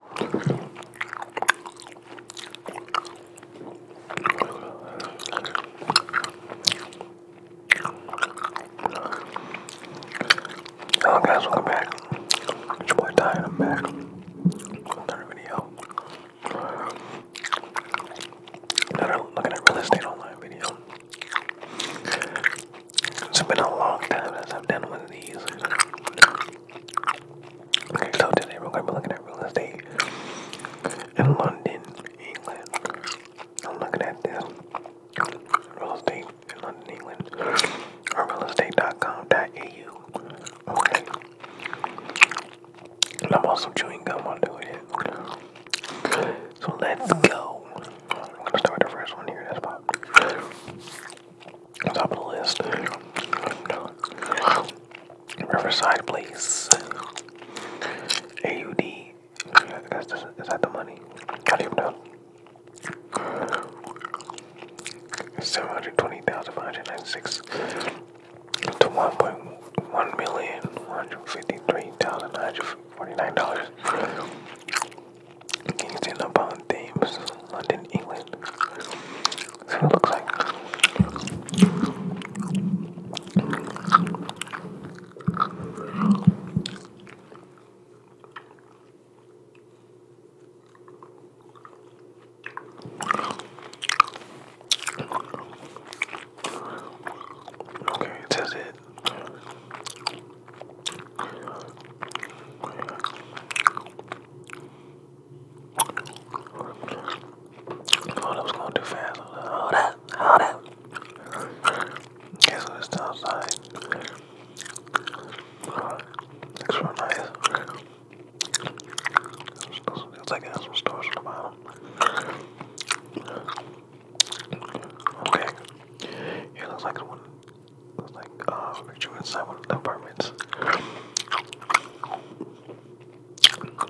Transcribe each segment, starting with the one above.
Hello guys, welcome back. It's your boy I'm back. Another video. Another looking at real estate online video. It's been a long time since I've done one of these. Okay, so today we're gonna be looking at real estate in London, England. I'm looking at this real estate in London, England, or realestate.com.au. Okay, and I'm also chewing gum while doing it. Okay. So let's go. I'm gonna start the first one here. That's pop top of the list. Riverside Place. AUD. That's the, is that the money? How do you know? 720,596 to 1.1 million, dollars. Kings in upon Thames, London, England. That's it looks like. Okay, it it Oh, was going too fast. All that, all that. Guess what it's time side. Looks real nice. Looks like it has some storage on the bottom. Okay. It looks like it's one like uh, rejuvenant apartments.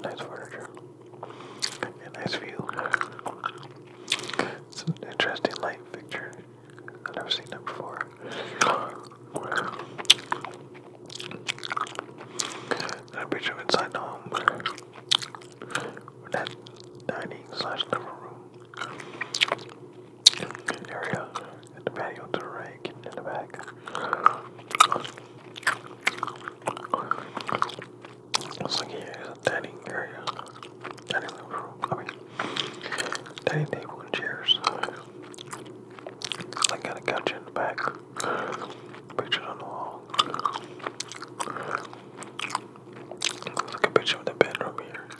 nice furniture and nice view. It's interesting light fixture. I've never seen that before. I picture inside the home. That dining slash room area in the patio to the right, in the back. Looks like here is a dining area, dining room. I mean, dining table and chairs. I got a couch in the back. Picture on the wall. Looks like a picture of the bedroom here.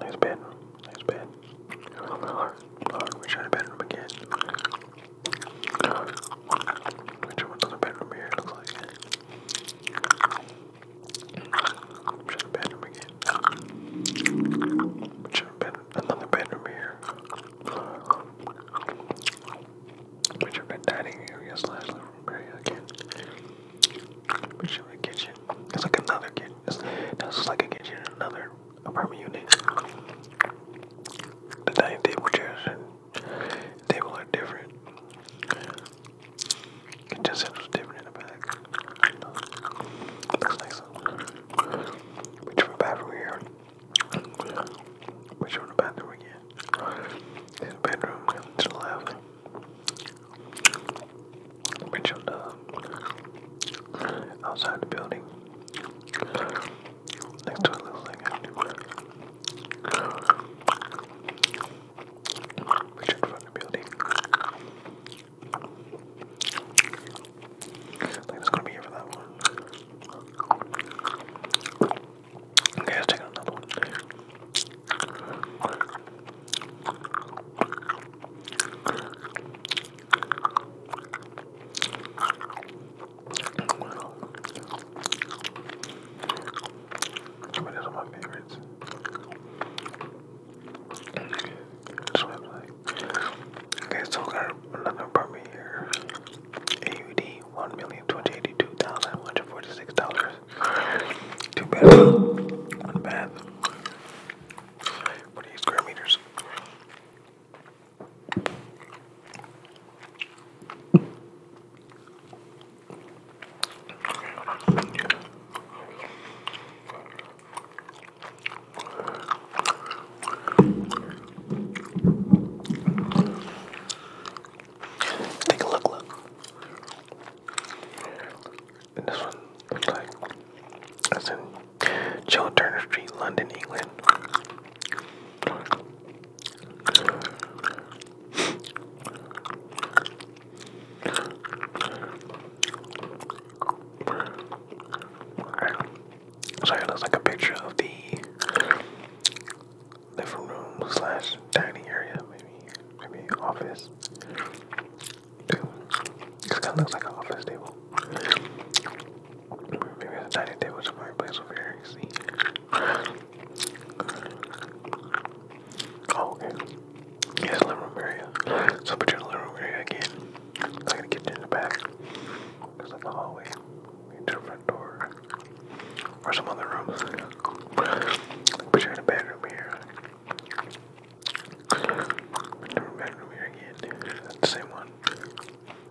Nice bedroom. Nice bed. We tried a bedroom again. We tried another bedroom here, looks like. We tried a bedroom again. We tried bed another bedroom here. We tried dining area slash living room area again. We tried kitchen. It's like another kitchen. this is like a kitchen in another apartment unit. The dining table chairs and table are different. Kitchen set was different in the back. Looks like Which for bathroom here. Which one the bathroom again? There's bedroom to the left. Mitchell outside the building. Next to a little thing Richard from the building. think that's gonna be it for that one. Okay, let's take another one. Some these are my favorites. So i okay, so got another apartment here. AUD one million twenty eighty two thousand one hundred forty six dollars. Two bedrooms, one bath. What are these square meters? Let's take a look, look this one looks like that's in Joe Turner Street, London, England. So it looks like a picture of the living room slash dining area, maybe maybe office. this kind of looks like an office table. Maybe a dining table somewhere, place over here. see? Oh, okay. Yes, living room area. So, picture the living room area again. Like the kitchen in the back. There's like a hallway. Maybe the front door. Or some other rooms. Picture the bedroom here. Different bedroom here again. That's the same one.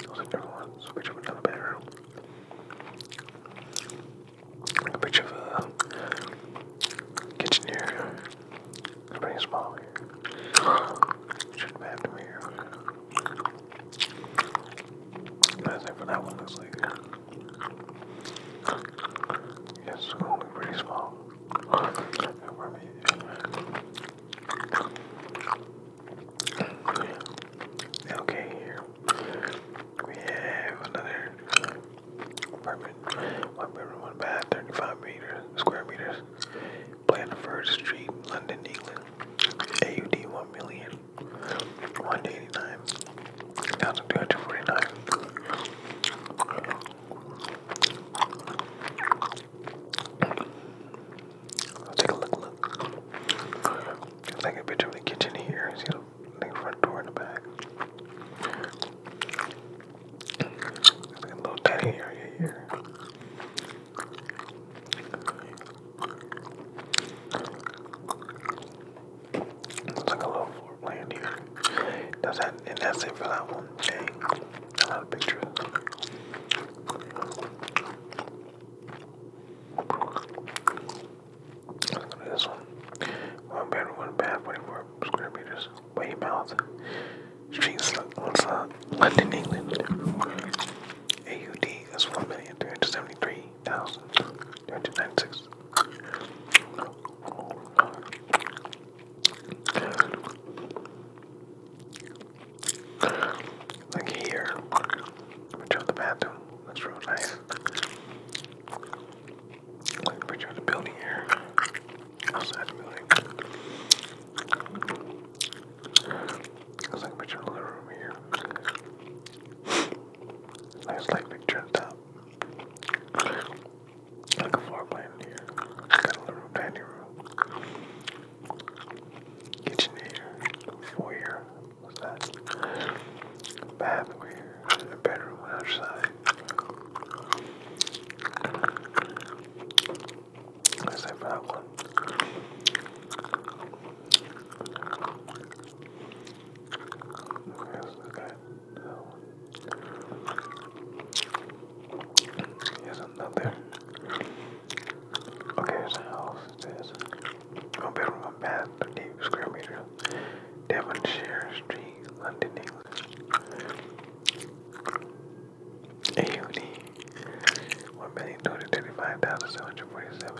Those are different Switch to another bedroom. a picture of a kitchen here. It's pretty small here. Shouldn't have to be here. that one, looks like. It's gonna be pretty small. Okay, here we have another apartment. One bedroom, one bath, 35 square meters. Blandford Street, London, England. AUD 1 million. 189 down to Let's take a look, look. It's like a picture of the kitchen here. See the front door in the back. There's a little dining area here. It's like a little floor plan here. That's that, and that's for that one. Dang, a lot of pictures. Let's go this one. One bedroom, one bath, 44 square meters. Weymouth. Streets, London, England. AUD is 1,373 thousand two hundred ninety six. Like here, which are the bathroom. That's real nice. Like picture of the building here. Outside the building. That's like a picture of the room here. Nice light picture on top. Like a floor plan here. Got a little dining room. Kitchen here. Foyer. What's that? Bath here. A bedroom on the side. Let's say for that one. Yes, okay. So, here's another. Okay, here's a house. It one bedroom, one bath, 38 square meters. Devonshire Street, London, England. AUD, one million two hundred thirty-five thousand seven hundred forty-seven.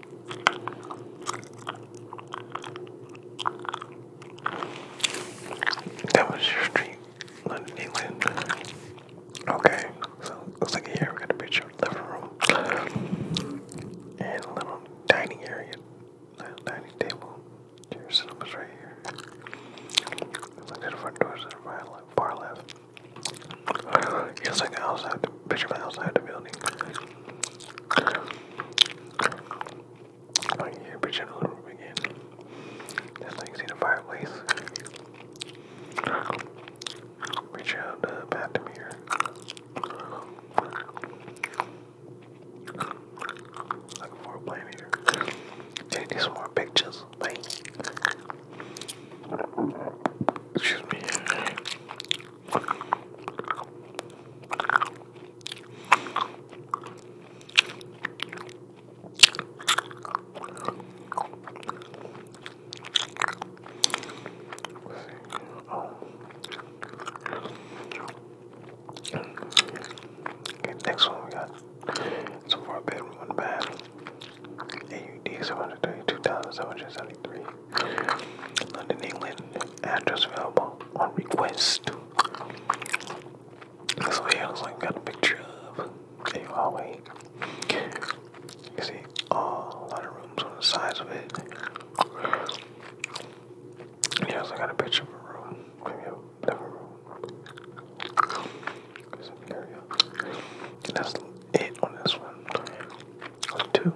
That was your dream, London, England. Okay, so looks like here we got a picture living room and a little dining area, little dining table. Your cinema's right here. the front door's to right, like far left. He was like outside the fisherman outside the building. I can hear picture the roof again. That's like see the fireplace. Reach out the bathroom here. Looking for a plan here. Take these more pictures, like Excuse me. Okay, next one we got so far bedroom and bath. AUD $732,773. London, England. Address available on request. So here looks got a picture of a hallway. You see oh, lot of rooms on the sides of it. And also got a picture of a room. Maybe a different room that's it on this one. Two.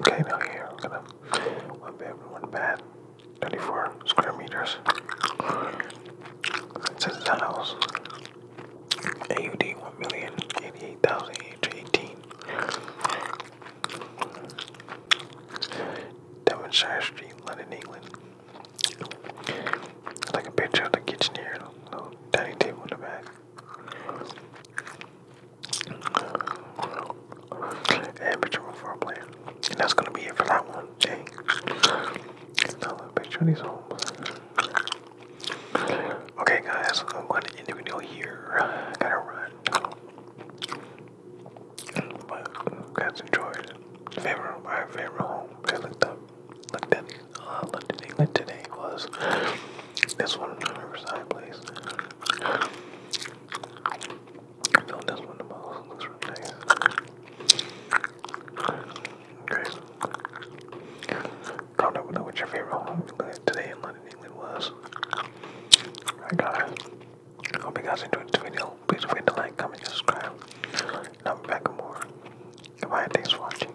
Okay, now here we're gonna one bedroom, one bath, 34 square meters. It says the house. AUD one million eighty eight thousand eight eighteen. Devonshire Street, London, England. Like a picture of the kitchen here, dining table in the back. And picture of our And that's gonna be it for that one. Dang. Another picture of these homes. Okay guys, I'm gonna end the video here. gotta run. But cats enjoyed favorite my favorite home I looked up looked at uh, looked at England today was this one Riverside place. I know this one the most looks really nice. Okay. what your favorite home uh, today in time in England hope you guys enjoyed this video. Please forget to like, comment, and subscribe. And I'll back with more. Goodbye thanks for watching.